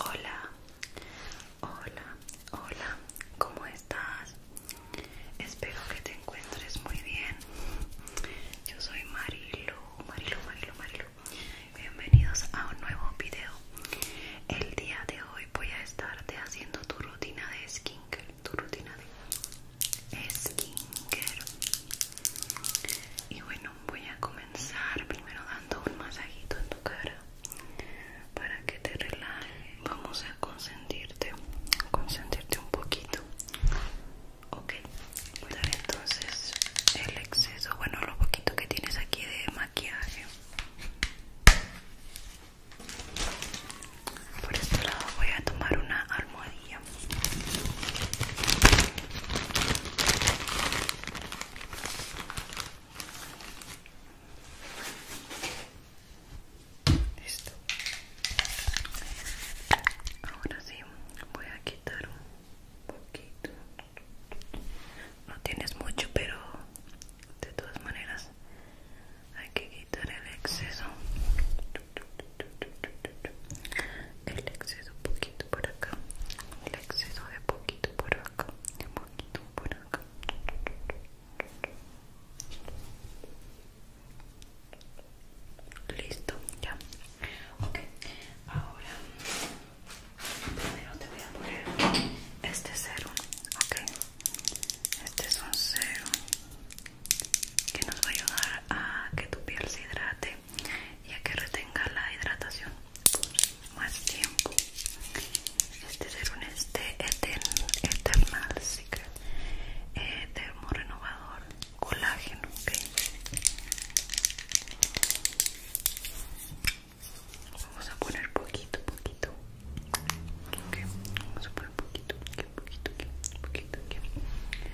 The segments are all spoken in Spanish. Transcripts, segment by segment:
Hola, hola, hola, ¿cómo estás? Espero que te encuentres muy bien. Yo soy Marilu, Marilu, Marilu, Marilu. Bienvenidos a un nuevo video. El día de hoy voy a estarte haciendo tu rutina de skincare, tu rutina de skincare. Y bueno, voy a comenzar primero dando un masajito en tu cara para que te relajes. Vamos a consentirte, consentirte un poquito. Ok, voy a dar entonces el exceso, bueno, lo poquito que tienes aquí de maquillaje. Por este lado voy a tomar una almohadilla Ahora sí, voy a quitar un poquito. No tienes mucho, pero de todas maneras hay que quitar el exceso el exceso poquito por acá el exceso de poquito por acá de poquito por acá listo ya ok ahora primero te voy a poner este cero ok este es un cero que nos va a ayudar a que tu piel se hidrate y a que retenga la hidratación por más tiempo este serum es de Eternal sí eh, termo renovador colágeno ok vamos a poner poquito poquito ok, vamos a poner poquito poquito poquito poquito, poquito, poquito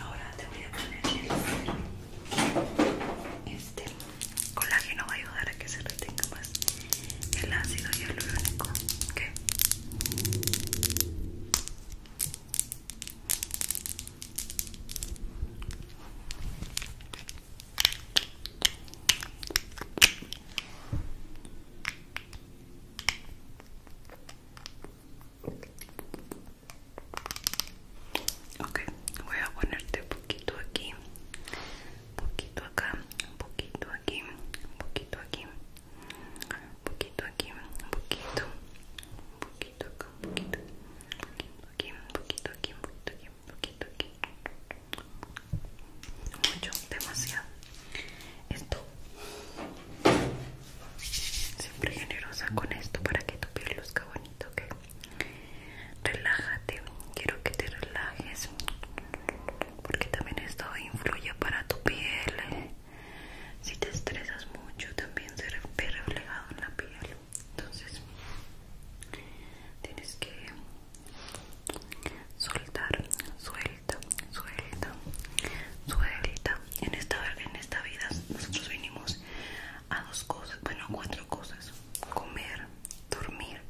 Ahora te voy a poner este, colágeno va a ayudar a que se retenga más el ácido hialurónico. ¿Ok? ok voy a ponerte un poquito aquí un poquito acá un poquito aquí un poquito aquí un poquito aquí un poquito poquito acá poquito aquí poquito aquí un poquito aquí poquito aquí mucho demasiado esto siempre generosa con esto para que tu piel luzca bonito, ¿ok? Relájate, quiero que te relajes porque también esto influye para tu piel. Si te estresas mucho también se ve en la piel. Entonces tienes que soltar, suelta, suelta, suelta, en esta, en esta vida nosotros venimos a dos cosas, bueno cuatro cosas, comer, dormir,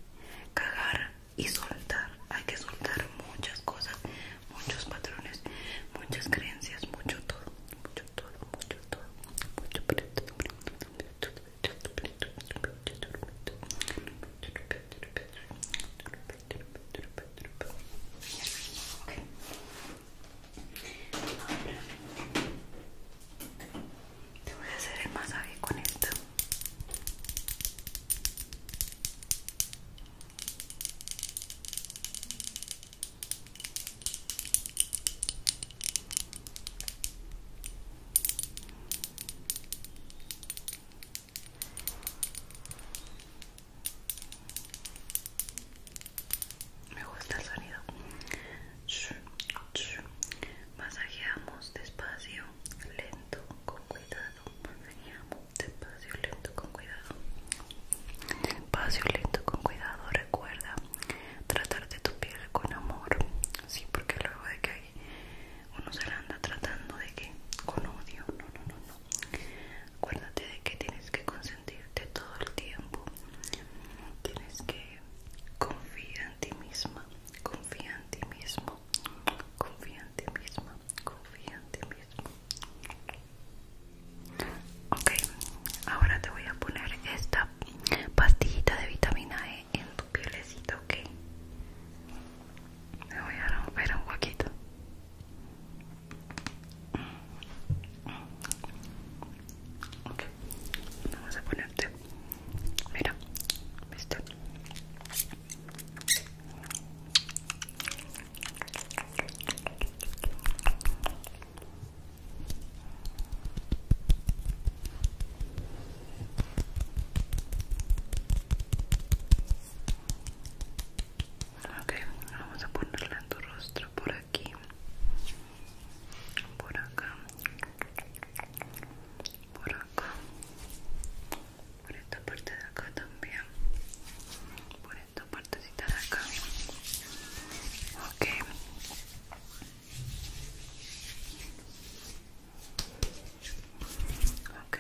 cagar y soltar. Hay que soltar muchas cosas, muchos patrones, muchas creencias, mucho todo, mucho todo, mucho todo, mucho Ahora te voy a hacer el masaje con esto. Me gusta el sonido. Masajeamos despacio, lento, con cuidado. Masajeamos despacio, lento, con cuidado. Despacio, lento, con cuidado. Recuerda tratar de tu piel con amor. Sí, porque luego de que hay uno se la anda tratando de que con odio. No, no, no, no acuérdate de que tienes que consentirte todo el tiempo tienes que confiar en ti misma confía en ti mismo confía en ti misma confía en ti mismo ok ahora te voy a poner esta pastillita de vitamina E en tu pielecita ok me voy a romper un poquito Ok, vamos a ponerte. Mira, ¿viste? Ok, vamos a ponerla en tu rostro por ahí aquí por acá por acá por esta parte de acá también por esta partecita de acá ok ok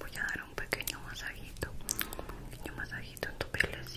voy a dar un pequeño masajito un pequeño masajito en tu piel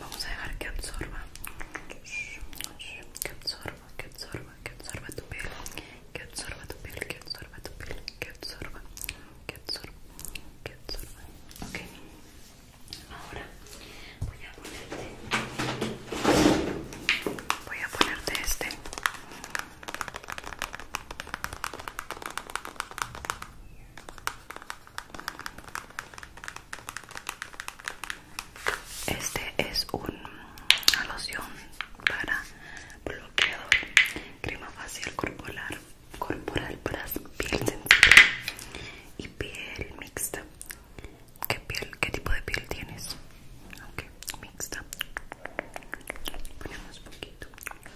vamos a dejar que absorba, que absorba, que absorba, que absorba tu piel, que absorba tu piel, que absorba tu piel, que absorba, que absorba, que absorba. Ok, ahora voy a ponerte, voy a ponerte este. Este es un loción para bloqueador, crema facial corporal, corporal para piel sensible y piel mixta. ¿Qué piel? ¿Qué tipo de piel tienes? Ok, mixta. Ponemos poquito.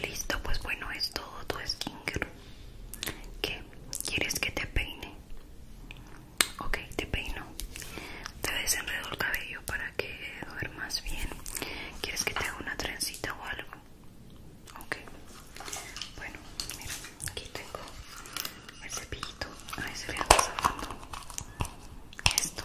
Listo, pues bueno, es todo tu skin ¿Qué? ¿Quieres que te peine? Ok, te peino. Te desenredo el cabello para que más bien. ¿Quieres que te haga una trencita o algo? Ok. Bueno, mira, aquí tengo el cepillito. A ver si le a Esto.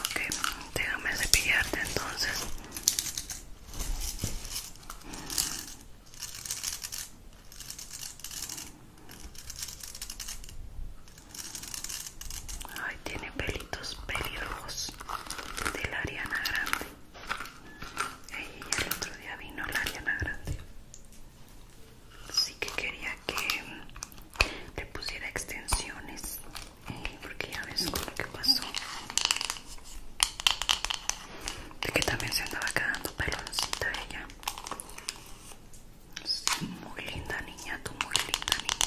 Ok, déjame cepillarte entonces. Ay, tiene pelitos peligrosos. de la Ariana Grande. el otro día vino la Ariana Grande. Sí que quería que le pusiera extensiones porque ya ves con lo que pasó de que también se andaba quedando peloncita ella muy linda niña tú muy linda niña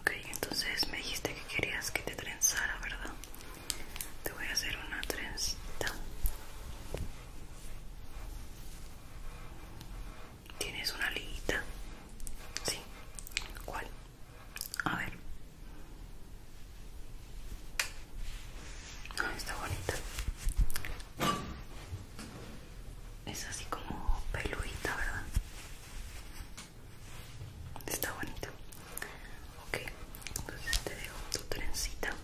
Ok, entonces me dijiste que querías que te trenzara, ¿verdad? Te voy a hacer una trenzita. ¿Tienes una liguita? Sí. ¿Cuál? A ver. Ah, está bonita es así como peludita, ¿verdad? Está bonito. Ok, entonces te dejo tu trencita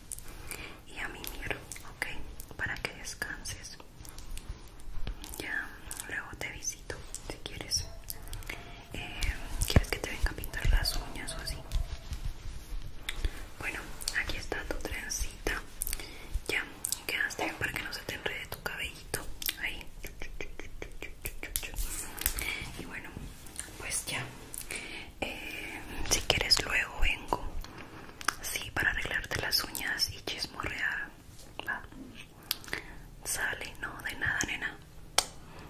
y a mi miro, ok, para que descanses. Ya luego te visito si quieres. Eh, ¿Quieres que te venga a pintar las uñas o así? Bueno, aquí está tu trencita. Ya Quedaste bien para que no se te enrede tu cabellito ahí y bueno pues ya eh, si quieres luego vengo sí para arreglarte las uñas y chismorrear va sale no de nada nena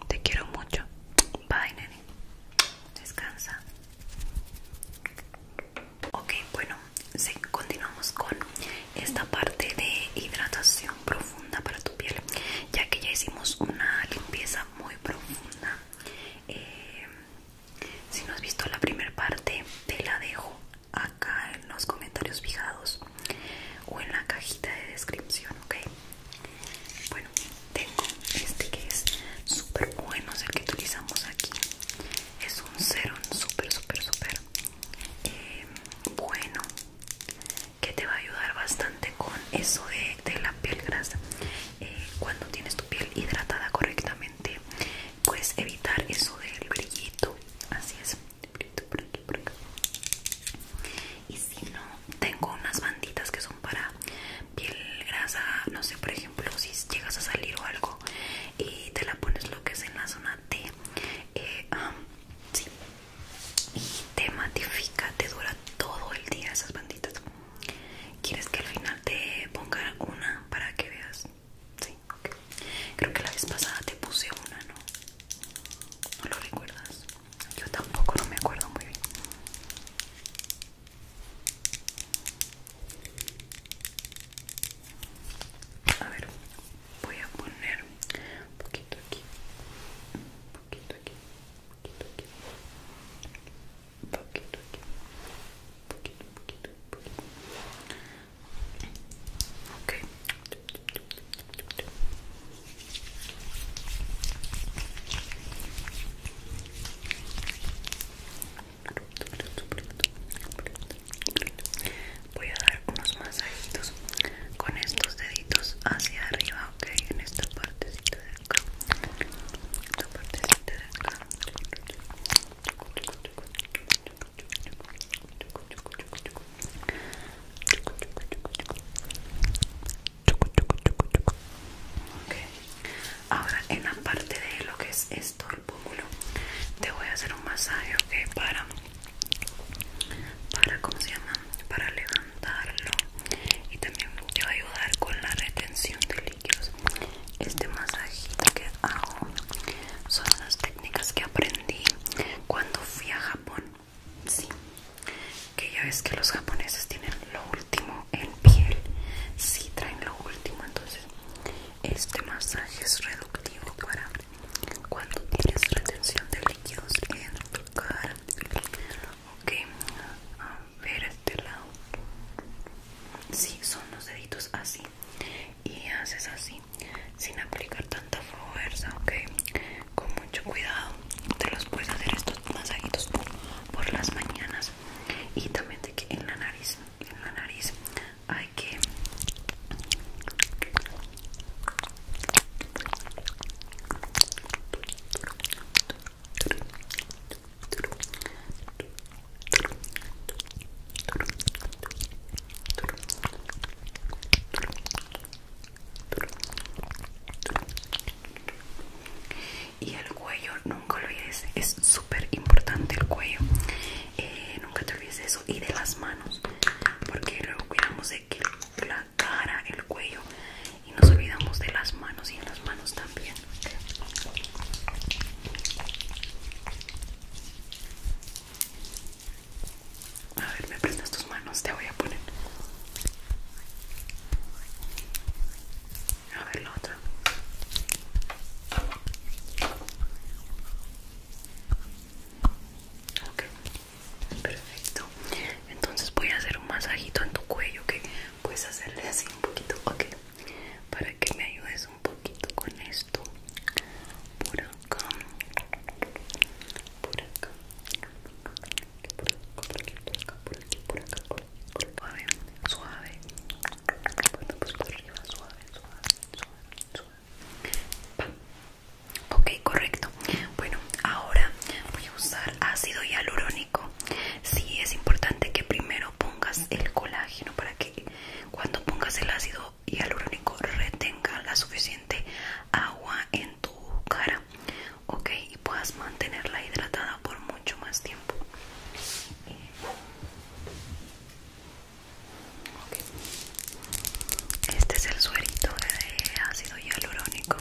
te quiero mucho bye nene descansa Ok, bueno, continuamos con esta parte de hidratación profunda para tu piel, ya que ya hicimos una limpieza muy profunda. Eh, si no has visto la primera parte, te la dejo acá en los comentarios fijados o en la cajita de descripción, ok. Bueno, tengo este que es súper bueno, es el que utilizamos aquí. Es un serum súper, súper, súper Em, bueno que te va a ayudar bastante con eso de, la piel grasa eh, cuando tienes tu piel hidratada correctamente puedes evitar eso del brillito así es brillito por aquí y si no tengo unas banditas que son para piel grasa no sé por ejemplo si llegas a salir o algo y te la pones lo que es en la zona T eh, sí. y te matifica, te dura todo el día esas banditas ¿Quieres que al final te ponga una para que veas? Sí, Creo que la vez pasada te puse una, ¿no? ¿No lo recuerdas? Yo tampoco, no me acuerdo muy bien a ver, voy a poner un poquito aquí un poquito aquí un poquito aquí un poquito aquí un poquito un poquito un poquito voy a dar unos masajitos con estos deditos hacia arriba ok en esta partecita de acá esta partecita de acá Ahora en la parte de lo que es esto púmulo te voy a hacer un masaje para para para levantarlo y también te va a ayudar con la retención de líquidos este masajito que hago son las técnicas que aprendí cuando fui a Japón que ya ves que los japoneses tienen lo último en piel si traen lo último entonces este masaje es reductivo para cuando tienes retención de líquidos en tu cara ok a ver este lado si son los deditos así y haces así sin aplicar tanta fuerza ok con mucho cuidado te los puedes hacer estos masajitos por, las mañanas y también en la nariz en la nariz hay que y el cuello nunca lo olvides es súper importante el cuello eh, nunca te olvides de eso y de las manos porque luego cuidamos de que la cara el cuello y nos olvidamos de las manos y en las manos también a ver me prendas tus manos te voy a poner a ver la otra Ok, perfecto. Entonces voy a hacer un masajito en tu cuello que puedes hacerle así un poquito. Ok, para que me ayudes un poquito con esto. Por acá, por acá, por acá, por aquí, por acá, por aquí, por acá, por aquí, por Suave, suave. Bueno, pues por arriba, suave, suave, suave, suave. Ok, correcto. Bueno, ahora voy a usar ácido hialurónico. Sí, es importante que primero pongas el colágeno para que cuando pongas el ácido hialurónico retenga la suficiente agua en tu cara. Ok, y puedas mantenerla hidratada por mucho más tiempo. Este es el suerito de ácido hialurónico.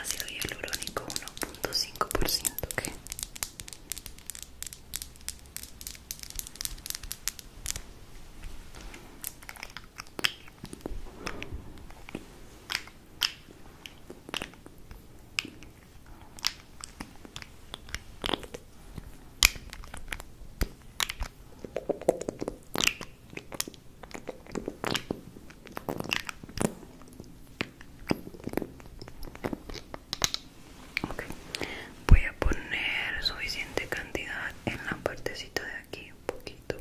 Ácido hialurónico 1.5%. Voy a poner suficiente cantidad en la partecita de aquí, un poquito,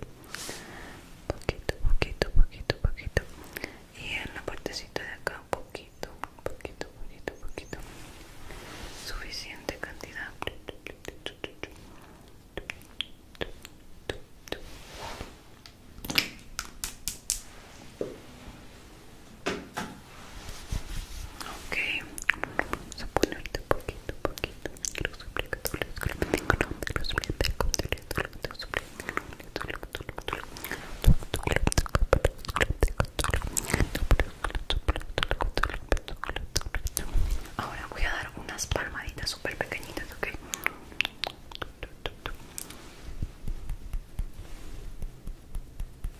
poquito, poquito, poquito, poquito, y en la partecita de acá, un poquito poquito, poquito, poquito, poquito. Suficiente cantidad. Ok, Ahora voy a dar unas palmaditas super pequeñitas, ¿ok?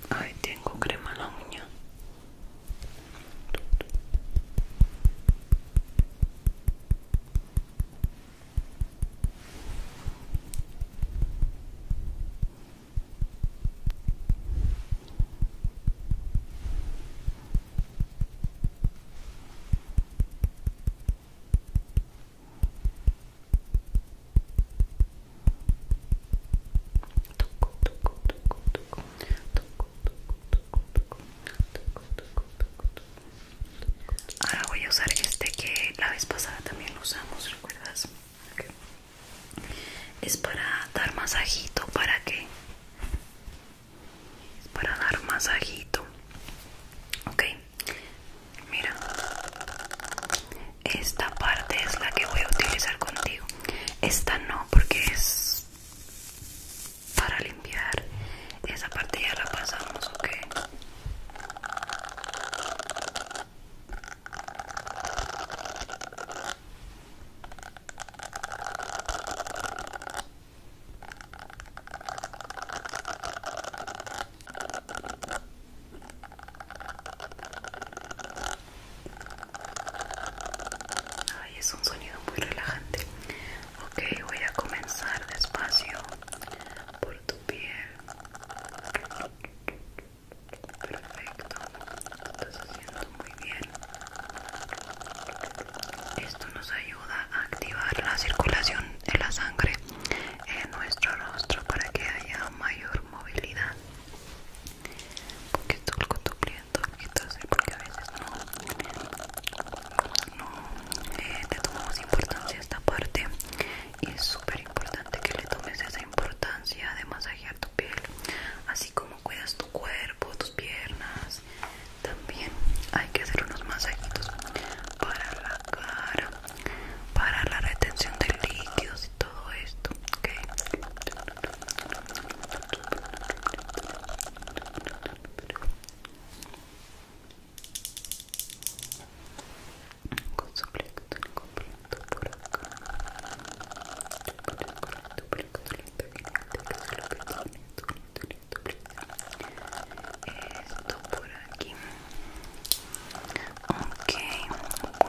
Ay, tengo crema la uña. Ahora voy a usar este que la vez pasada también lo usamos, ¿recuerdas? es para dar masajito para qué es para dar masajito ok mira esta parte es la que voy a utilizar contigo esta no porque es para limpiar esa parte ya la pasamos ok Ay, es un sonido muy relajante. Ok, voy a comenzar despacio por tu piel. Perfecto, lo estás haciendo muy bien. Esto nos ayuda a activar la circulación de la sangre en nuestro rostro para que haya mayor movilidad. Un poquito con tu un poquito así, porque a veces no, no eh, te tomamos importancia esta parte y es súper importante que le tomes esa importancia de masajear tu piel así como cuidas tu cuerpo tus piernas también hay que hacer unos masajitos para la cara para la retención de líquidos y todo esto ¿okay? esto por acá esto por aquí ok,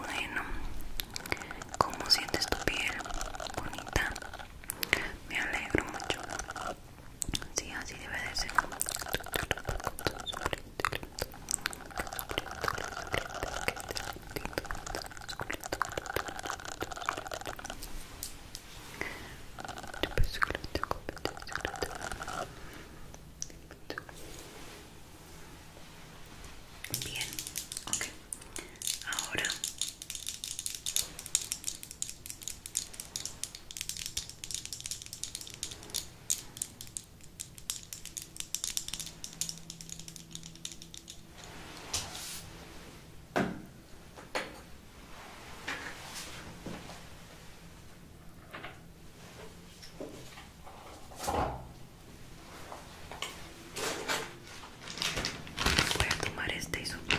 bueno ¿cómo sientes tu piel? bonita me alegro mucho Sí, así debe de ser. Bien, okay. Ahora Voy a tomar este y sopa.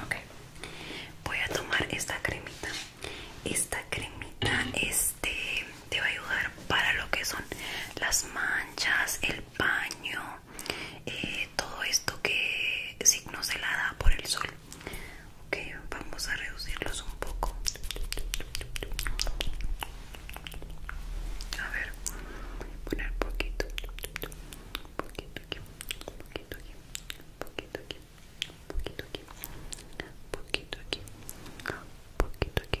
Correcto. Voy a tomar esta cremita. Esta cremita es este, te va a ayudar para lo que son las manchas, el paño, eh, todo esto que signo se la da por el sol. Ok, vamos a reducirlos un poco. A ver, poner poquito, poquito aquí, poquito aquí, poquito aquí, poquito aquí, poquito aquí, poquito aquí, poquito aquí, poquito aquí,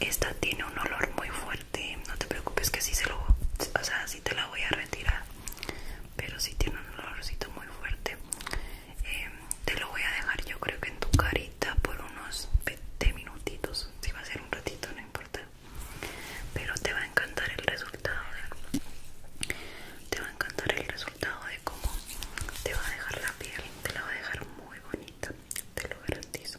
Esta tiene un olor muy fuerte, no te preocupes que si se lo, o sea, te la voy a retirar, pero si tiene un olorcito muy fuerte. Em, te lo voy a dejar yo creo que en tu carita por unos 20 minutitos, si va a ser un ratito no importa, pero te va a encantar el resultado. te va a encantar el resultado de cómo te va a dejar la piel, te la va a dejar muy bonita, te lo garantizo.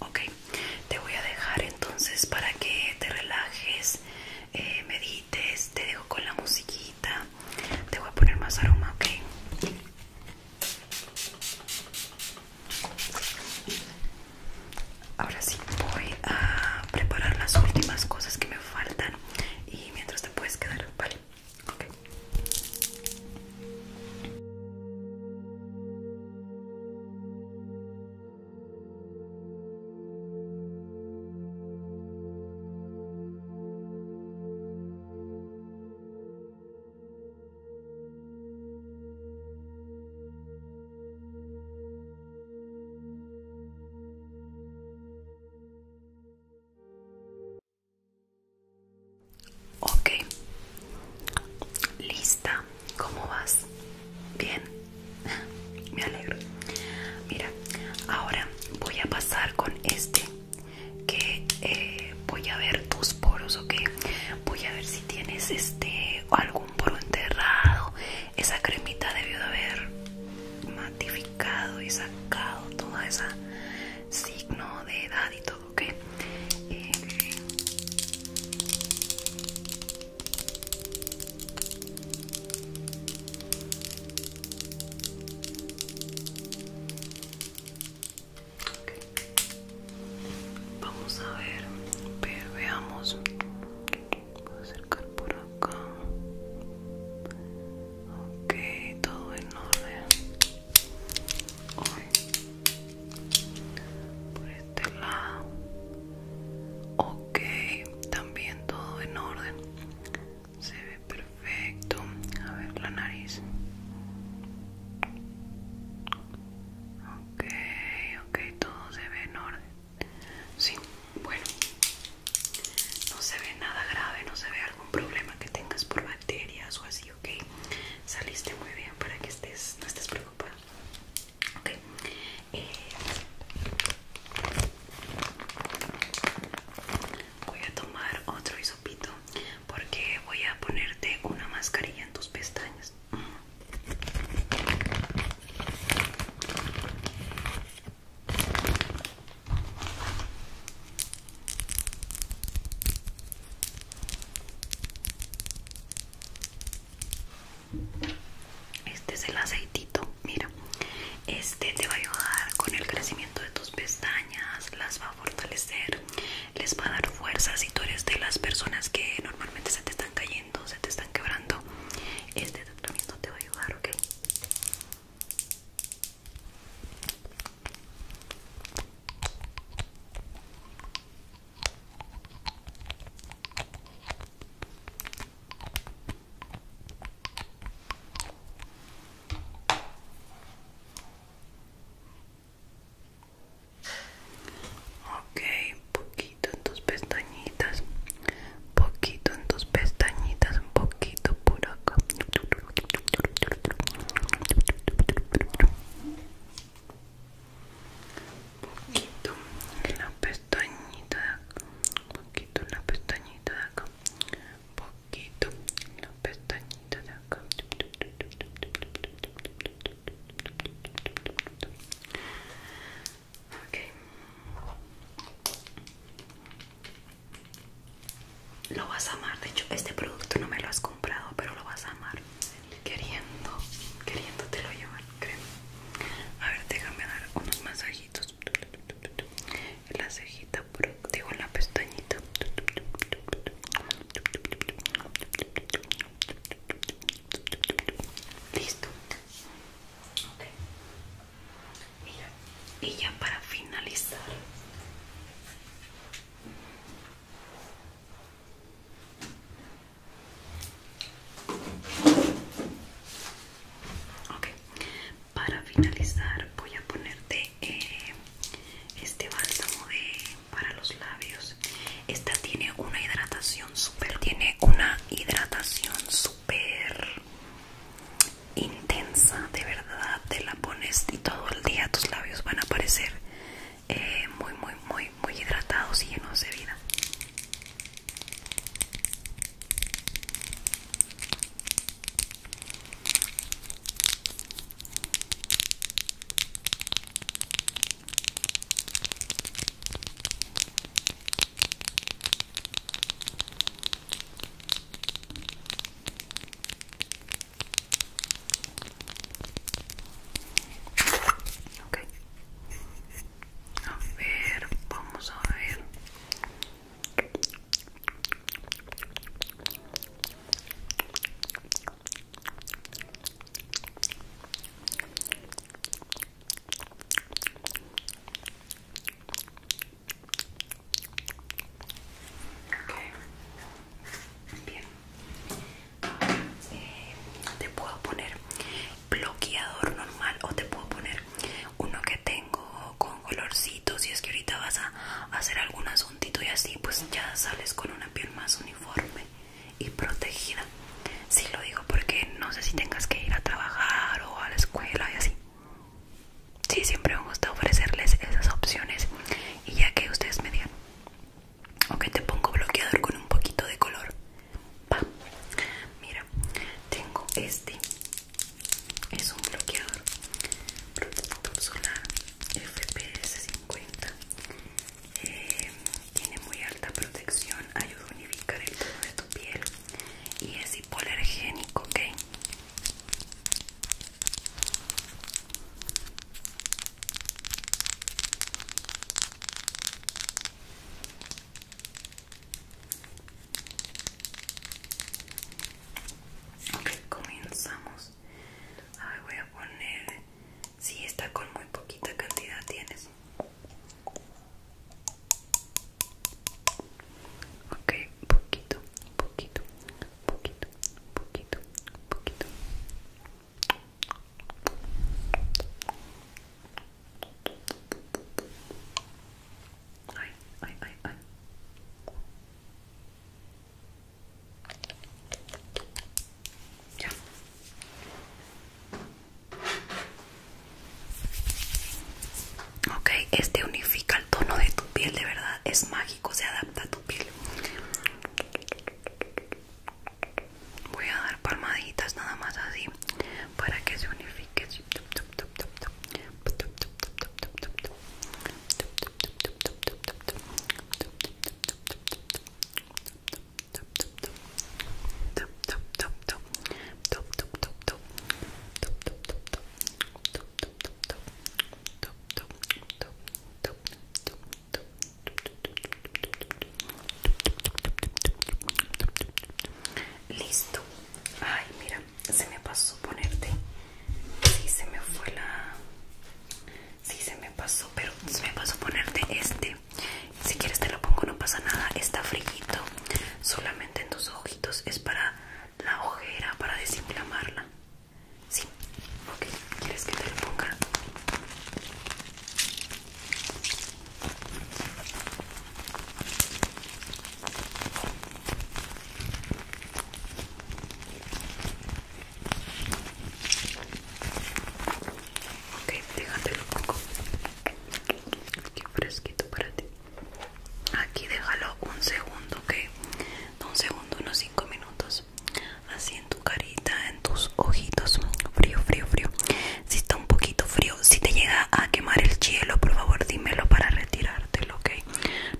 Ok, te voy a dejar entonces para que te relajes, eh, medites, te dejo con la musiquita, te voy a poner más aroma, ok. Ahora sí voy a preparar las últimas cosas que me faltan y mientras te puedes quedar, ¿vale? Ok, lista, ¿cómo vas? Bien, me alegro. Mira, ahora voy a pasar con este que eh, voy a ver tus poros, o que Voy a ver si tienes este algún poro enterrado. Esa cremita debió de haber matificado y sacado toda esa signo de edad y todo, ¿ok? Eh, Vamos a ver, veamos. Voy a acercar por acá. Ok, todo en orden. Por este lado. Ok, también todo en orden perfecto. A ver la nariz. Ok, ok, todo se ve en orden. Sí, bueno. No se ve nada grave, no se ve algún problema que tengas por bacterias o así, ok. Saliste muy bien para que estés, no estés preocupada. Ok. Eh, voy a tomar otro porque voy a ponerte una mascarilla en tus pestañas. Este es el aceitito, mira. Este te va a ayudar con el crecimiento de tus pestañas, las va a fortalecer, les va a dar fuerza si tú eres de las personas que normalmente se te están cayendo, se te están quebrando. Este tratamiento te va a ayudar, ¿ok? Ok, poquito en dos pestañitas, poquito en dos pestañitas, un poquito por acá. Poquito en la pestañita de poquito en la pestañita de acá, poquito la pestañita de acá okay. lo vas a amar de hecho este producto no me lo has comprado pero lo vas a amar queriendo queriéndotelo llevar creo a ver déjame dar unos masajitos en la cejita digo en la pestañita listo y ya para finalizar para finalizar voy a ponerte eh, este bálsamo de para los labios. Esta tiene una hidratación super. tiene una hidratación Super intensa, de verdad. Te la pones y todo el día tus labios van a parecer eh, muy, muy, muy, muy hidratados y llenos de vida. Okay, A ver, vamos a ver. Eh, te puedo poner bloqueador normal o te puedo poner uno que tengo con colorcito si es que ahorita vas a hacer algunas y así pues ya sales con una piel más uniforme y protegida. si lo digo porque no sé si tengas que ir a trabajar o a la escuela y así. si siempre me gusta ofrecerles esas opciones y ya que ustedes me digan, ok, te pongo bloqueador con un poquito de color. mira, tengo este, es un bloqueador protector solar FPS50 eh, tiene muy alta protección, ayuda a unificar el tono de tu piel y es hipoalergénico, ¿ok? Ok, comenzamos Ay, voy a poner. si está con muy poquita cantidad tienes. Ok, poquito, poquito, poquito, poquito, poquito. Ay, ay, ay, ay. Ya. Ok, este unifica el tono de tu piel, de verdad, es mágico, se adapta a tu piel. Voy a dar palmaditas nada más así para que se unifique. Listo. Ay, mira, se me pasó ponerte. Sí, se me fue la Sí, se me pasó, pero se me pasó ponerte este. Si quieres te lo pongo, no pasa nada. Está frillito. Solamente en tus ojitos. Es para la ojera, para desinflamarla. Sí. Ok. ¿Quieres que te lo ponga? Ok, déjatelo un poco. Aquí fresquito para ti. Aquí déjalo un segundo, ok. un segundo, unos 5 minutos. Así en tu carita, en tus ojitos. Frío, frío, frío. Si está un poquito frío, si te llega a quemar el hielo, por favor dímelo para retirártelo, ok.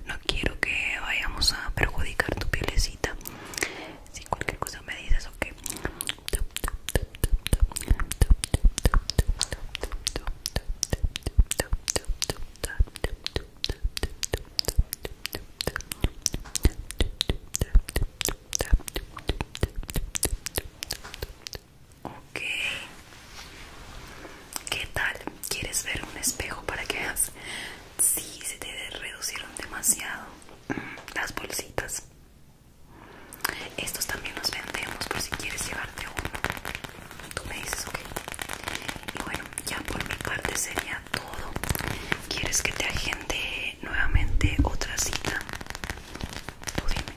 No quiero que vayamos a perjudicar tu pielecita si cualquier cosa me dices ok Ok, ¿qué tal? ¿Quieres ver un espejo para que veas? Sí, se te reducieron demasiado las bolsitas estos también los vendemos por si quieres llevarte uno tú me dices ok y bueno ya por mi parte sería todo quieres que te agente nuevamente otra cita tú dime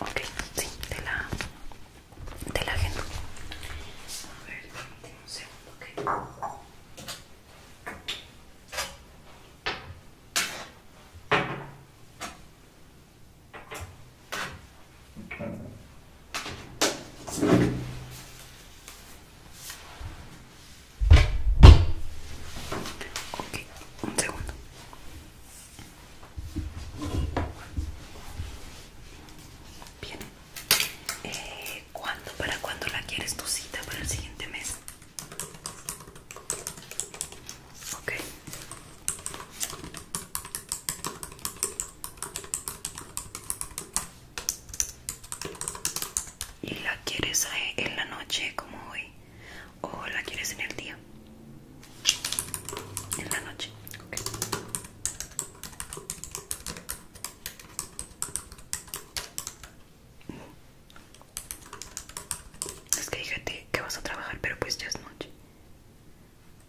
ok sí te la te la agendo a ver un segundo, ¿ok? Ok, un segundo. Bien. Eh, ¿Cuándo? ¿Para cuándo la quieres tu cita? ¿Para el siguiente mes? ¿Y la quieres eh, en la noche como hoy? ¿O la quieres en el día? En la noche, es que dije que vas a trabajar, pero pues ya es noche.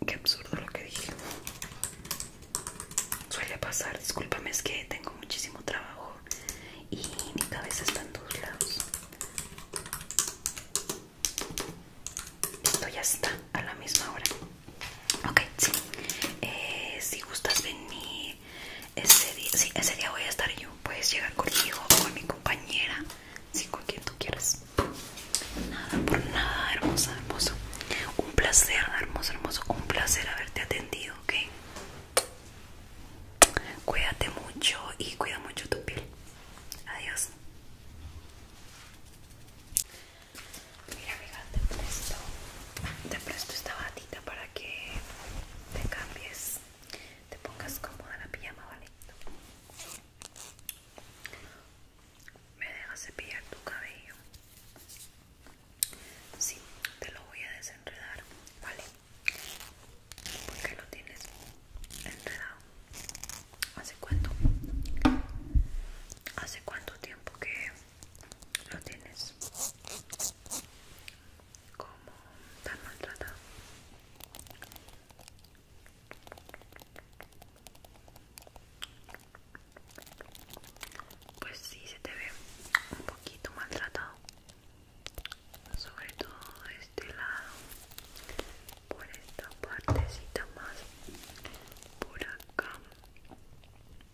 Qué absurdo lo que dije. Suele pasar, discúlpame, es que tengo muchísimo trabajo y mi cabeza está en dos lados. Esto ya está a la misma hora. Ok, sí. Eh, si gustas venir ese día, ese día voy a estar yo. Puedes llegar conmigo o con mi compañera, Si con quien tú quieras. Nada por nada, hermosa, hermoso. Un placer, hermoso, hermoso. Un placer haberte atendido, ¿ok? Cuídate mucho y cuida mucho tu piel. Adiós. Mira, amiga, te presto, esta batita para que te cambies, te pongas cómoda la pijama, ¿vale? Me dejas cepillar tu cabello. Sí, te lo voy a desenredar, ¿vale? Porque lo tienes enredado. ¿Hace cuánto? ¿Hace cuánto tiempo que lo tienes como tan maltratado pues sí se te ve un poquito maltratado sobre todo este lado por esta partecita más por acá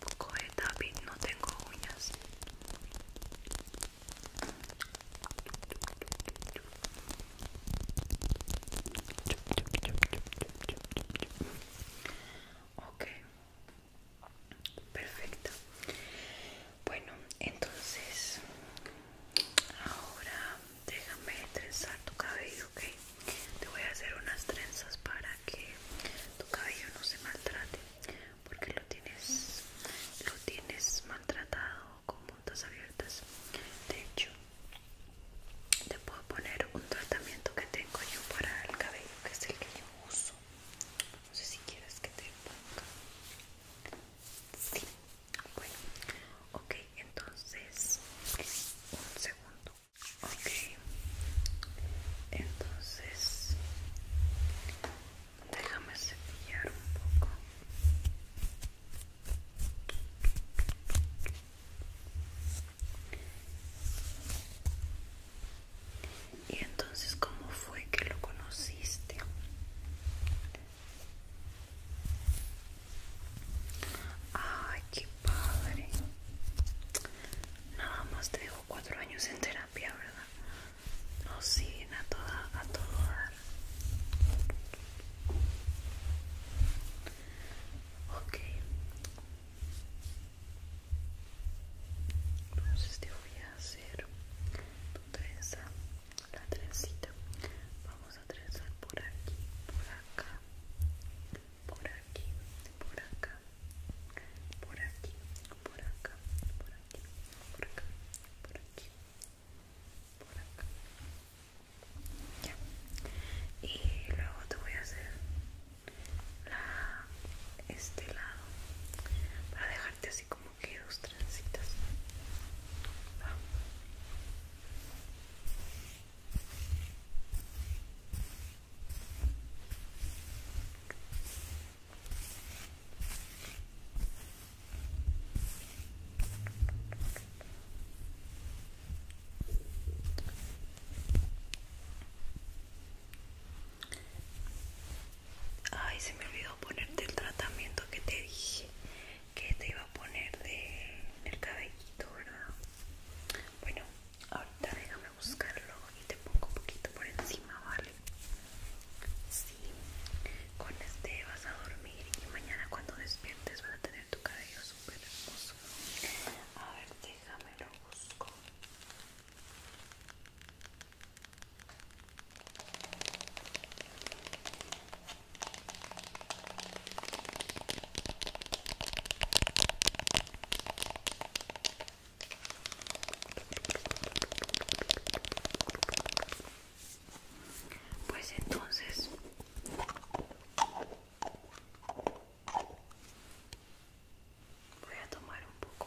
poco de no tengo uñas ok perfecto bueno entonces ahora déjame trenzar tu cabello ok te voy a hacer unas trenzas para que tu cabello no se maltrate porque lo tienes lo tienes maltratado con puntas abiertas de hecho te puedo poner un tratamiento que tengo yo para el cabello que es el que yo uso no sé si quieres que te ponga sí bueno ok entonces un segundo Ok, entonces déjame cepillar un poco. Y entonces, ¿cómo fue que lo conociste? padre. Nada más te dejo cuatro años en terapia, ¿verdad? Nos siguen a, toda, a todo dar. Ok. Entonces te voy a hacer tu trenza, la trencita. Vamos a trenzar por aquí, por acá por aquí, por acá, por aquí, por acá, por aquí, por acá, por aquí, por acá. Ya. Y luego te voy a hacer la, este lado para dejarte así como que dos trencitas. Vamos Ay, se me olvidó ponerte el tratamiento que te dije que te iba a poner de, el cabellito, ¿verdad? Bueno, ahorita buscarlo y te pongo un poquito por encima, ¿vale? Sí, con este vas a dormir y mañana cuando despiertes vas a tener tu cabello súper hermoso. A ver, déjame lo busco. Pues entonces voy a tomar un poco.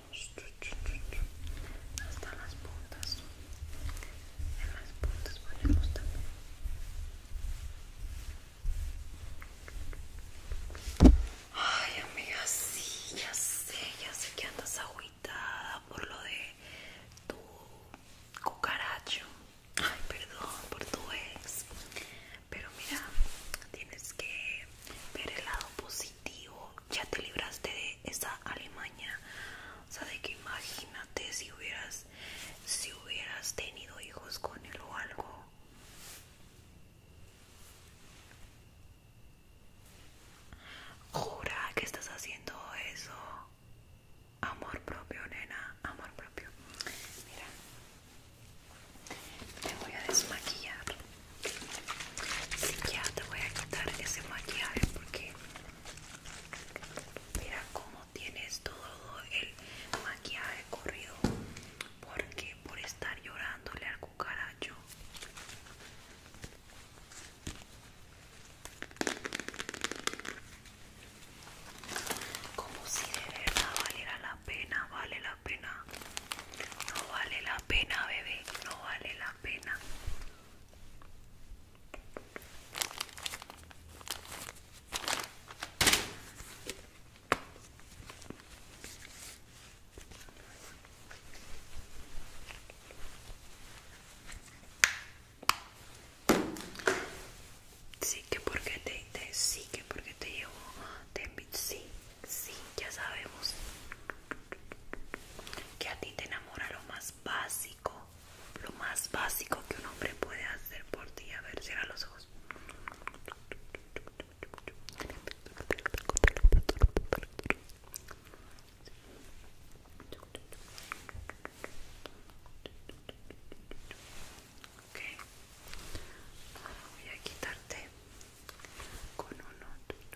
hasta las puntas en las puntas ponemos también ay amiga sí ya sé ya sé que andas agüitada por lo de tu cucaracho ay perdón por tu ex pero mira tienes que ver el lado positivo ya te libraste de esa Alemania O sea, de que imagínate si hubieras, si hubieras tenido hijos con él o algo. Jura que estás haciendo eso. Amor propio, nena. Amor propio. Mira. Te voy a desmaquillar. Si ya te voy a quitar ese maquillaje porque mira cómo tienes todo el maquillaje corrido porque por estar llorándole al cucaracho como si de verdad valiera la pena vale la pena no vale la pena bebé no vale la pena Sí que porque te, sí que porque te llevo te sí, sí, ya sabemos que a ti te enamora lo más básico, lo más básico que un hombre puede hacer por ti. A ver, cierra los ojos. voy a quitarte con uno.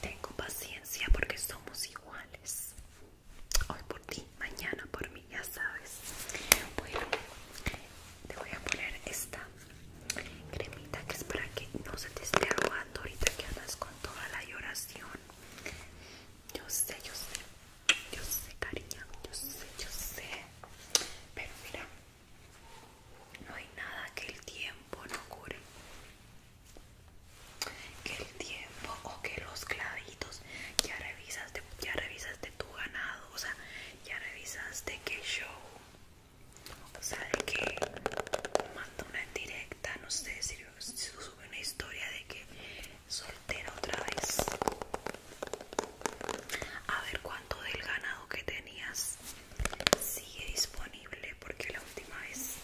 Tengo paciencia porque somos iguales. Hoy por ti, mañana por mí, ya sabes. Bueno, te voy a poner esta cremita que es para que no se te esté robando ahorita que andas con toda la lloración. Yo sé, yo sé, yo sé, cariño, yo sé, yo sé. Pero mira, no hay nada que el tiempo no cure que el tiempo o que los clavitos ya revisaste ya revisaste tu ganado o sea ya revisaste que show o sea de que manda una directa no sé si, sube una historia de que soltera otra vez a ver cuánto del ganado que tenías sigue disponible porque la última vez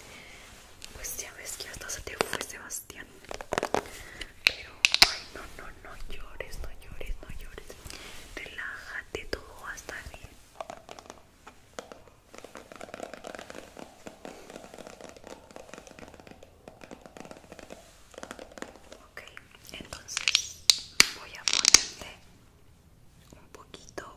pues ya ves que hasta se te fue Sebastián. Pero, ay, no, no, no llores, no llores, no llores. Relájate, todo va a estar bien. Ok, entonces voy a ponerte un poquito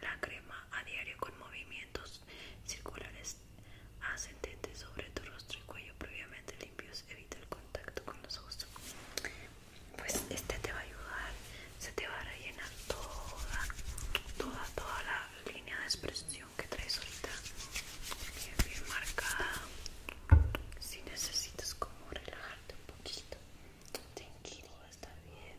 la crema a diario con movimientos circulares ascendentes sobre tu rostro y cuello previamente limpios evita el contacto con los ojos. Pues este te va a ayudar, se te va a rellenar toda, toda, toda la línea de expresión que traes ahorita, bien, bien marcada. Si necesitas como relajarte un poquito, tranquilo, está bien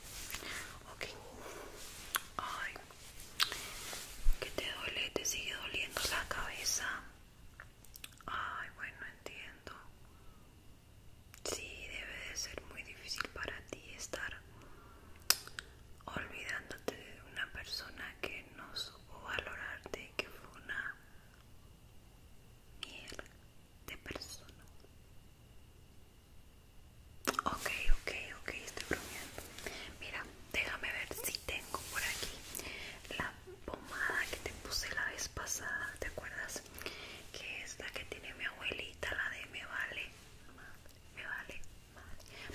Ok. Ay. ¿Qué te duele? ¿Te sigue doliendo la cabeza? Ay, bueno, entiendo. Sí, debe de ser muy difícil para ti estar olvidándote de una persona que no supo valorarte, que fue una miel de persona. Ok, ok, ok, estoy bromeando. Mira, déjame ver si tengo por aquí la pomada que te puse la vez pasada, ¿te acuerdas? Que es la que tiene mi abuelita, la de me vale, me vale,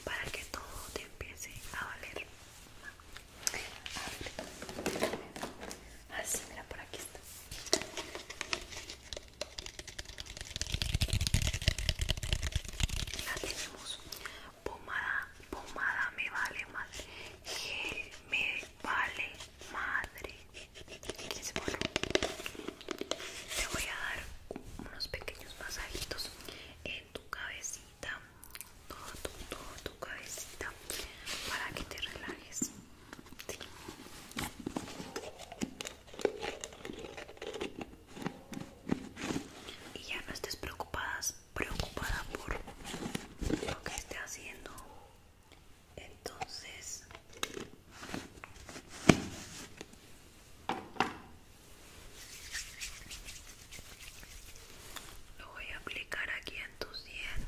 para que todo te empiece a valer. Así, mira, por aquí está la tenemos pomada pomada me vale madre gel me vale madre te voy a dar unos pequeños masajitos en tu cabecita todo tu cabecita para que te relajes y ya no estés preocupada, preocupada por lo que esté haciendo entonces lo voy a aplicar aquí en tu sien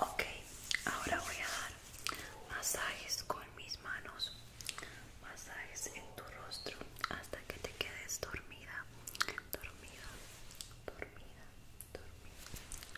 Ok, ahora voy a dar masajes con mis manos, masajes en tu rostro hasta que te quedes dormida, dormida, dormida, dormida,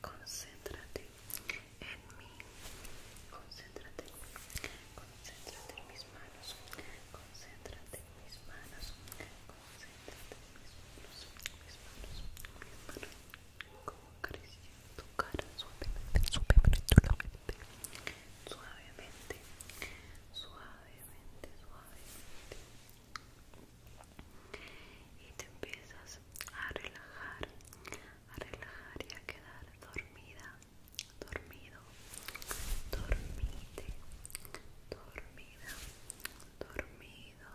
concéntrate en mí, concéntrate, concéntrate en mis manos, concéntrate en mis manos, concéntrate en mis manos, mis manos, mis manos, como creciendo tu cara suavemente, suavemente, suavemente, suavemente, suavemente y te empiezas a relajar, a relajar y a quedar dormida, dormido, dormite, dormida, dormido,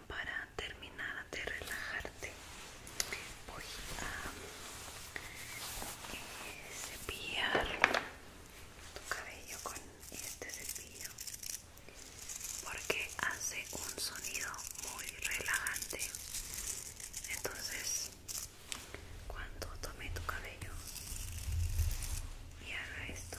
para terminar de relajarte voy a eh, cepillar tu cabello con este cepillo porque hace un sonido muy relajante entonces cuando tome tu cabello y haga esto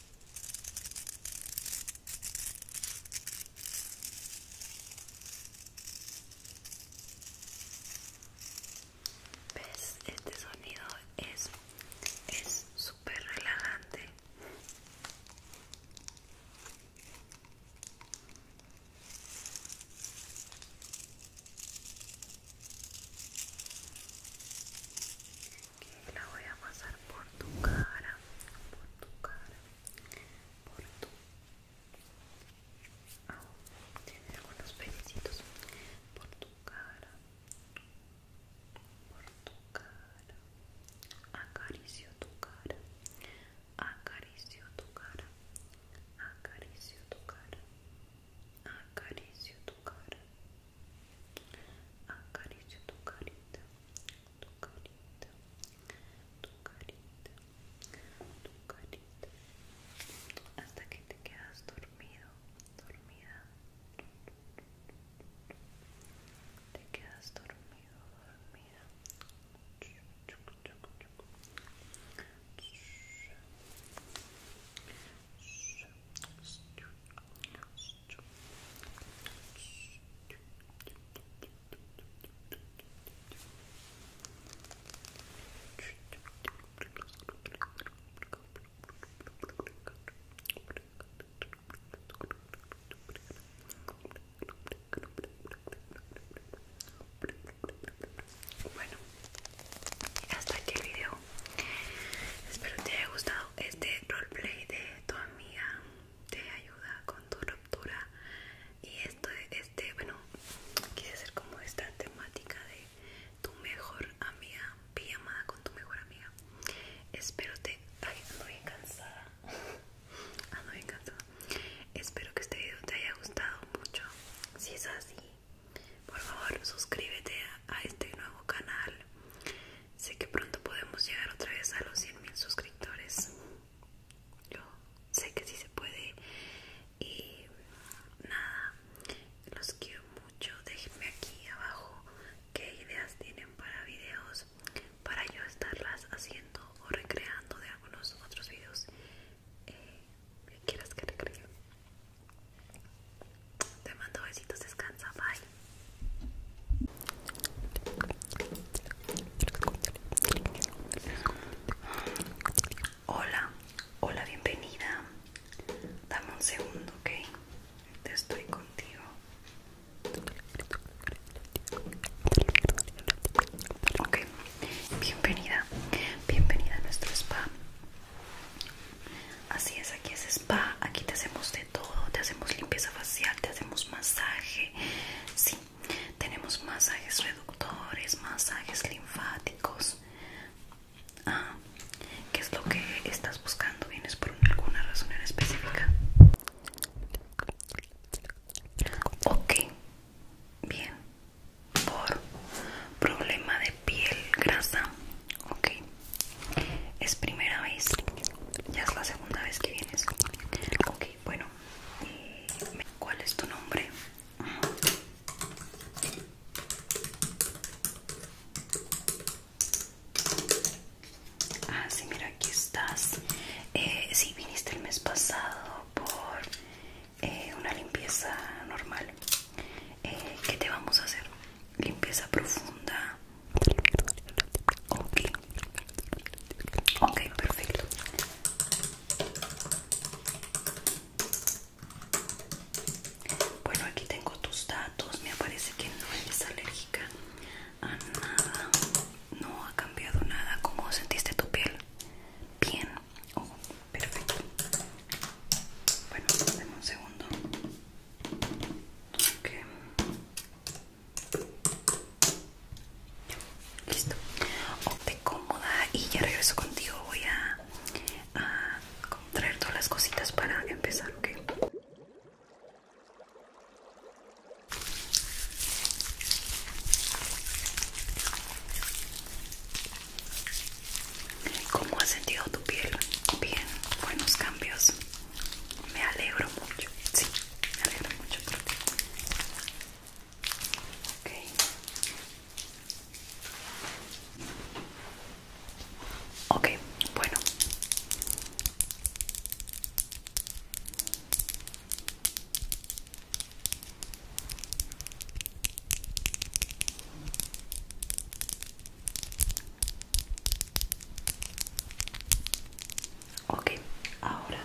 ¿Ves? Este sonido es es súper relajante la voy a pasar por tu cara, por tu cara, por tu... Ah, tiene algunos pelecitos. por tu cara, por tu cara, acaricio tu cara, acaricio tu cara, acaricio tu cara. Acaricio tu cara acaricia ah, tu carita, tu carita, tu carita, tu carita, hasta que te quedas dormido, dormida, te quedas dormido, dormida. Bueno, hasta aquí el video. Espero que te haya gustado este roleplay de tu amiga te ayuda con tu ruptura y esto este bueno quiere ser como esta temática de tu mejor amiga amada con tu mejor amiga espero te ay ando bien cansada ando bien cansada espero que este video te haya gustado mucho si es así por favor suscríbete a este nuevo canal Sé que pronto podemos llegar otra vez a los 100.000 suscriptores. Yo sé que sí se puede. Y nada, los quiero mucho. Déjenme aquí abajo qué ideas tienen para videos para yo estarlas haciendo o recreando de algunos otros videos eh, que quieras que recreen. Te mando besitos, descansa, bye. Hola, hola, bienvenida. Dame un segundo, ok. Te estoy contigo. Ok, bienvenida, bienvenida a nuestro spa. Así es, aquí es spa, aquí te hacemos todo, te hacemos limpieza facial, te hacemos masaje, sí, tenemos masajes reductores, masajes linfáticos. Ah, ¿qué es lo que estás buscando? ¿Vienes por alguna razón en específica? Ok, bien, por problema de piel grasa, ok, es primera vez, ya es la segunda vez que vienes. Ok, bueno, eh, ¿cuál es tu nombre? Ah, sí, mira, aquí estás. Si eh, sí, viniste el mes pasado por eh, una limpieza normal. ¿Qué te vamos a hacer? limpieza profunda. Ok, perfecto. Bueno, aquí tengo tus datos. Me parece que no eres alérgica a nada. No ha cambiado nada. ¿Cómo sentiste tu piel? Bien. Oh, perfecto. Bueno, dame un segundo. ok Listo. te cómoda y ya regreso contigo. Voy a, a traer todas las cositas para empezar, ¿ok? ¿Cómo has sentido tu piel? Bien, buenos cambios. Me alegro mucho, sí, me alegro mucho por ti. Ok, bueno. Ok, ahora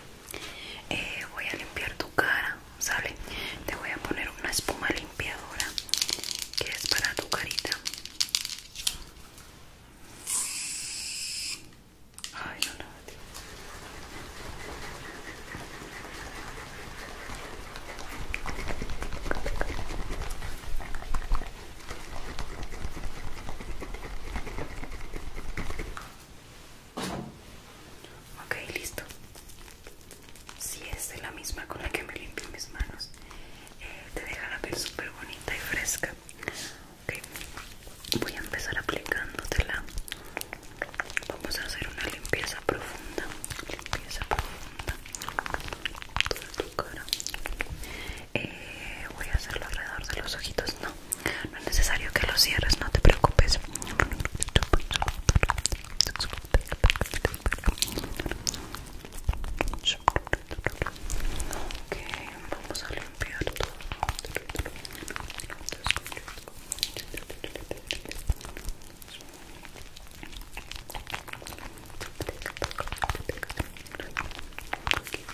eh, voy a limpiar tu cara, ¿sale? Te voy a poner una espuma limpiadora que es para tu carita. Ok, listo. Si es de la misma con la que me limpio mis manos, eh, te deja la piel súper bonita y fresca. voy a empezar aplicándotela. Vamos a hacer una limpieza profunda. Limpieza profunda. tu cara eh, voy a hacerlo alrededor de los ojitos no no es necesario que los cierres no te preocupes ok vamos a limpiar todo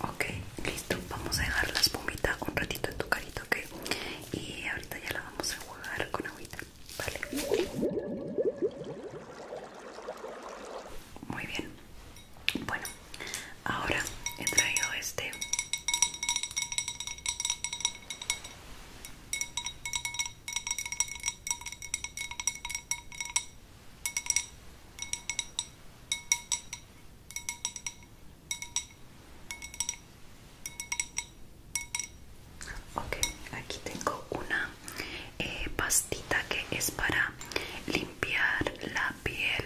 Ok, listo, vamos a dejar la espumita un ratito en tu carito, ok? Y ahorita ya la vamos a jugar con agüita, ¿vale? Muy bien, bueno, ahora he traído este Ok, aquí tengo una eh, pastita que es para limpiar la piel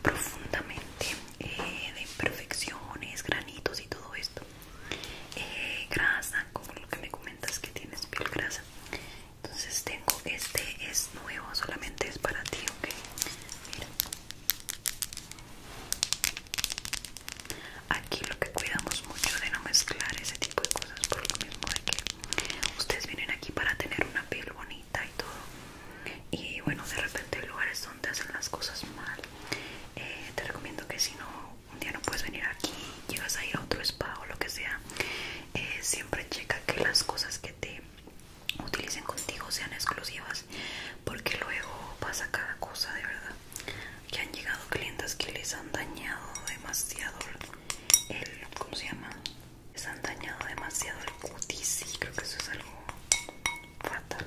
profundamente eh, de imperfecciones, granitos y todo esto. Eh, grasa, como lo que me comentas que tienes piel grasa. Entonces tengo este, es nuevo, solamente es para ti, ok. Mira. Aquí lo que cuidamos mucho de no mezclar ese tipo de cosas por lo mismo de que ustedes vienen aquí para tener una piel bonita y todo. Y bueno, de repente hay lugares donde hacen las cosas mal. Eh, te recomiendo que si no un día no puedes venir aquí, llegas a ir a otro spa o lo que sea, eh, siempre checa que las cosas que te utilicen contigo sean exclusivas, porque luego pasa cada cosa de verdad. Que han llegado clientes que les han dañado demasiado el. ¿Cómo se llama? Les han dañado demasiado el cutis creo que eso es algo fatal.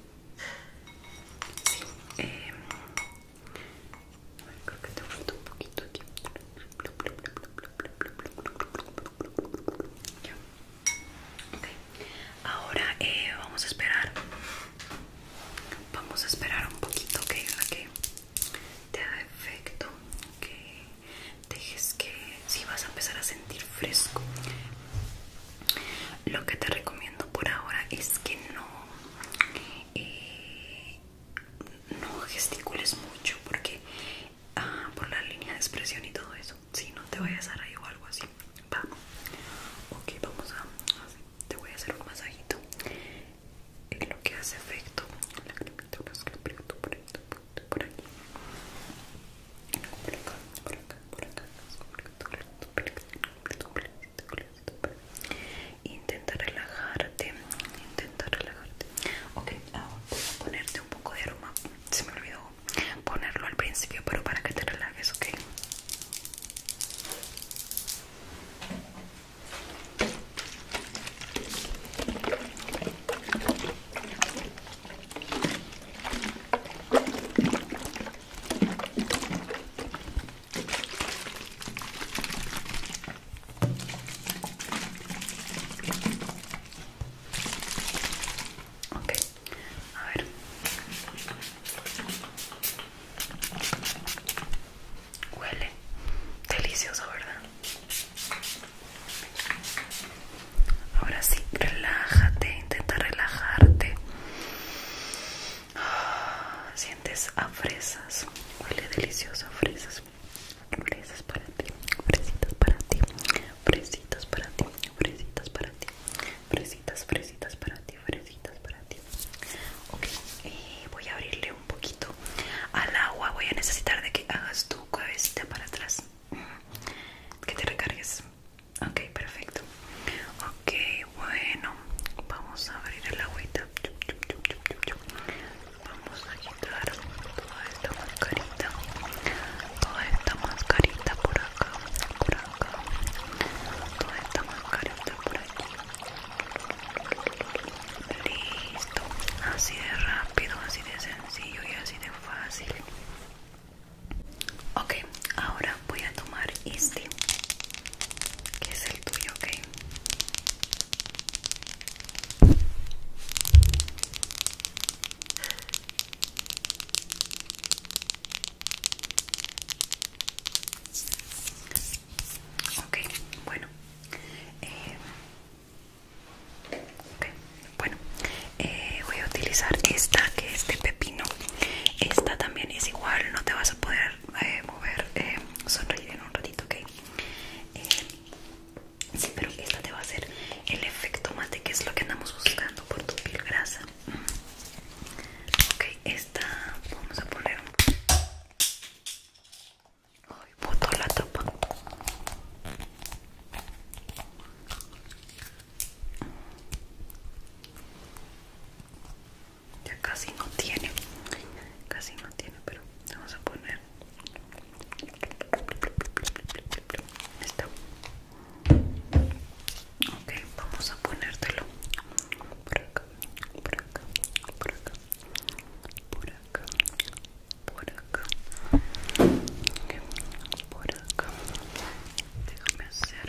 Sí, eh, creo que te falta un poquito aquí. Ya. Okay. Ahora eh, vamos a esperar. Vamos a esperar un poquito, ¿ok? A que te da efecto, que dejes que si vas a empezar a sentir fresco. Lo que te recomiendo por ahora es que no, eh, no gesticules mucho porque ah, por la línea de expresión y todo eso, si no te vayas a rayo o algo así. Va. Ok, vamos a... Te voy a hacer un masajito lo que hace efecto. La cremita, por aquí intenta relajarte intenta relajarte ok ahora voy a ponerte un poco de aroma se me olvidó ponerlo al principio pero para que te relajes ok Ok, a ver. Huele delicioso, ¿verdad? Ahora sí, relájate, intenta relajarte. Ah, sientes a fresas, huele delicioso fresas. Fresas para ti, fresitas para ti, fresitas para ti, fresitas para ti, fresitas, fresitas para ti, fresitas para ti. Ok, eh, voy a abrirle un poquito al agua. Voy a necesitar de que hagas tu cabecita para atrás, que te recargues. Ok, perfecto. Ok, bueno, vamos a abrir el agüita. Vamos a quitar toda esta mascarita. Toda esta mascarita por acá, por acá. Toda esta mascarita por aquí. Listo. Así de rápido, así de sencillo y así de fácil. Okay, ahora voy a tomar este, que es el tuyo, okay. Okay, bueno. Eh, okay. Bueno, eh, voy a utilizar esta que es de pepino esta también es igual no te vas a poder eh, mover eh, sonreír en un ratito ok sí pero esta te va a hacer el efecto mate que es lo que andamos buscando por tu piel grasa mm. ok esta vamos a poner un Ay, la tapa ya casi no tiene, casi no tiene, pero vamos a poner esto. Ok, vamos a ponértelo por acá, por acá, por acá, por acá, por acá, okay, por acá. Déjame hacer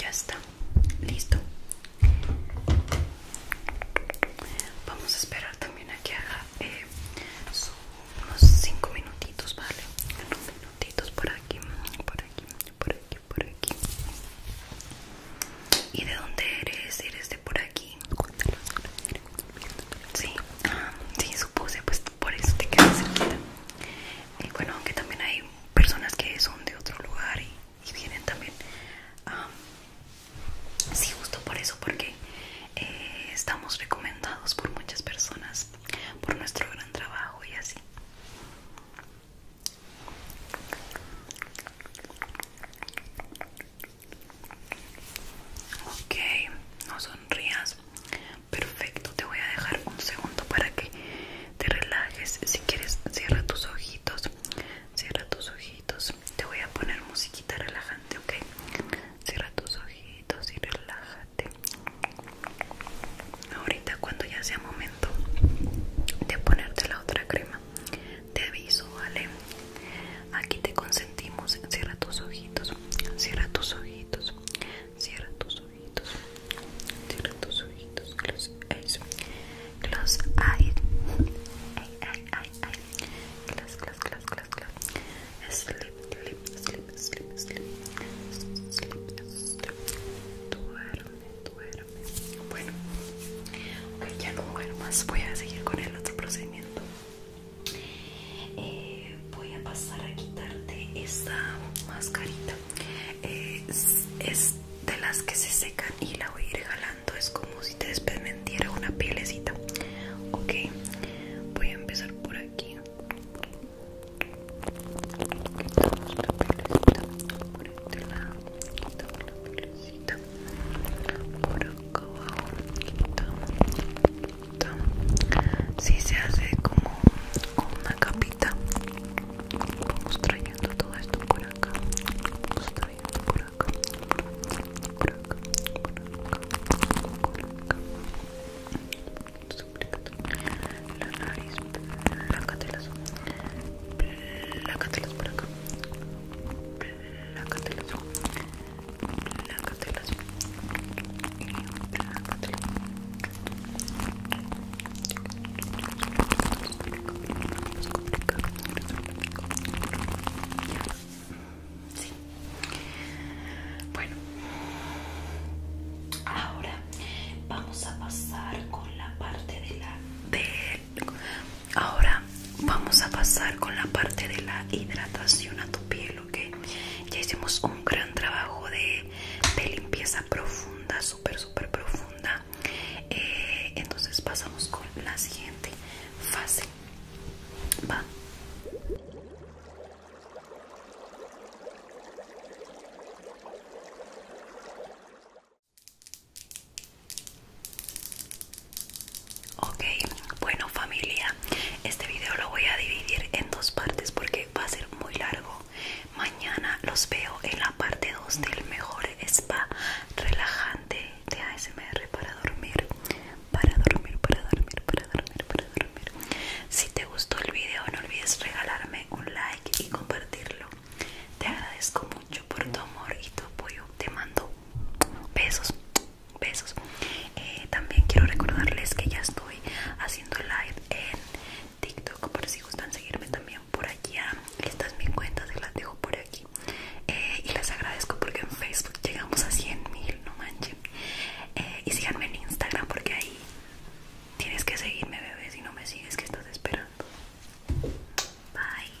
Ya está, listo. Vamos a esperar también a que haga eh, unos cinco minutitos, ¿vale? Unos minutitos por aquí, por aquí, por aquí, por aquí. ¿Y de dónde eres? ¿Eres de por aquí? Cuéntanos. Sí, sí, supuse, pues por eso te quedas cerquita. y eh, bueno, aunque también hay personas que son de otro lugar y, vienen también. sí, justo por eso, porque eh, estamos recomendados por muchas personas por nuestro gran trabajo y así. Ok, no sonrías. Perfecto, te voy a dejar un segundo para que te relajes. Si quieres, cierra tus ojitos. Cierra tus ojitos. Te voy a poner musiquita relajante, ok. Cierra tus ojitos y relájate. Ahorita, cuando ya sea momento de ponerte la otra crema, te aviso, ¿vale? Aquí te consentimos. Cierra tus ojitos. Cierra tus ojitos. Cierra tus ojitos. Cierra tus ojitos. Close eyes. Close eyes. eyes, Close, close, close, close, close. Duerme, duerme. Bueno, ok, ya no duermas. Voy a seguir con el otro procedimiento eh, voy a pasar a quitarte esta mascarita eh, es, de las que se secan y la voy a ir jalando es como si te despegmentiera una pielecita ok voy a empezar por aquí quitamos la pielecita por este lado quitamos la pielecita por acá abajo quitamos si se hace como una capita vamos trayendo todo esto por acá vamos trayendo por acá por acá por acá por acá la nariz la plácatelas por acá plácatelas la bueno ahora vamos a pasar con la parte de la de ahora vamos a pasar con la parte de la hidratación a tu piel que ya hicimos un gran trabajo de, limpieza profunda súper súper profunda eh, entonces pasamos con la siguiente fase va Ok, bueno familia, este video lo voy a dividir en dos partes porque va a ser muy largo. Mañana los veo en la parte 2 del mejor spa relajante de ASMR para dormir, para dormir, para dormir, para dormir, para dormir. Si te gustó el video no olvides regalarme un like y compartirlo. Te agradezco mucho por tu amor y tu apoyo. Te mando besos besos eh, también quiero recordarles que ya estoy haciendo live en tiktok por si gustan seguirme también por aquí, estas mis cuentas se las dejo por aquí eh, y les agradezco porque en facebook llegamos a 100 mil no manches eh, y síganme en instagram porque ahí tienes que seguirme bebé si no me sigues que estás esperando bye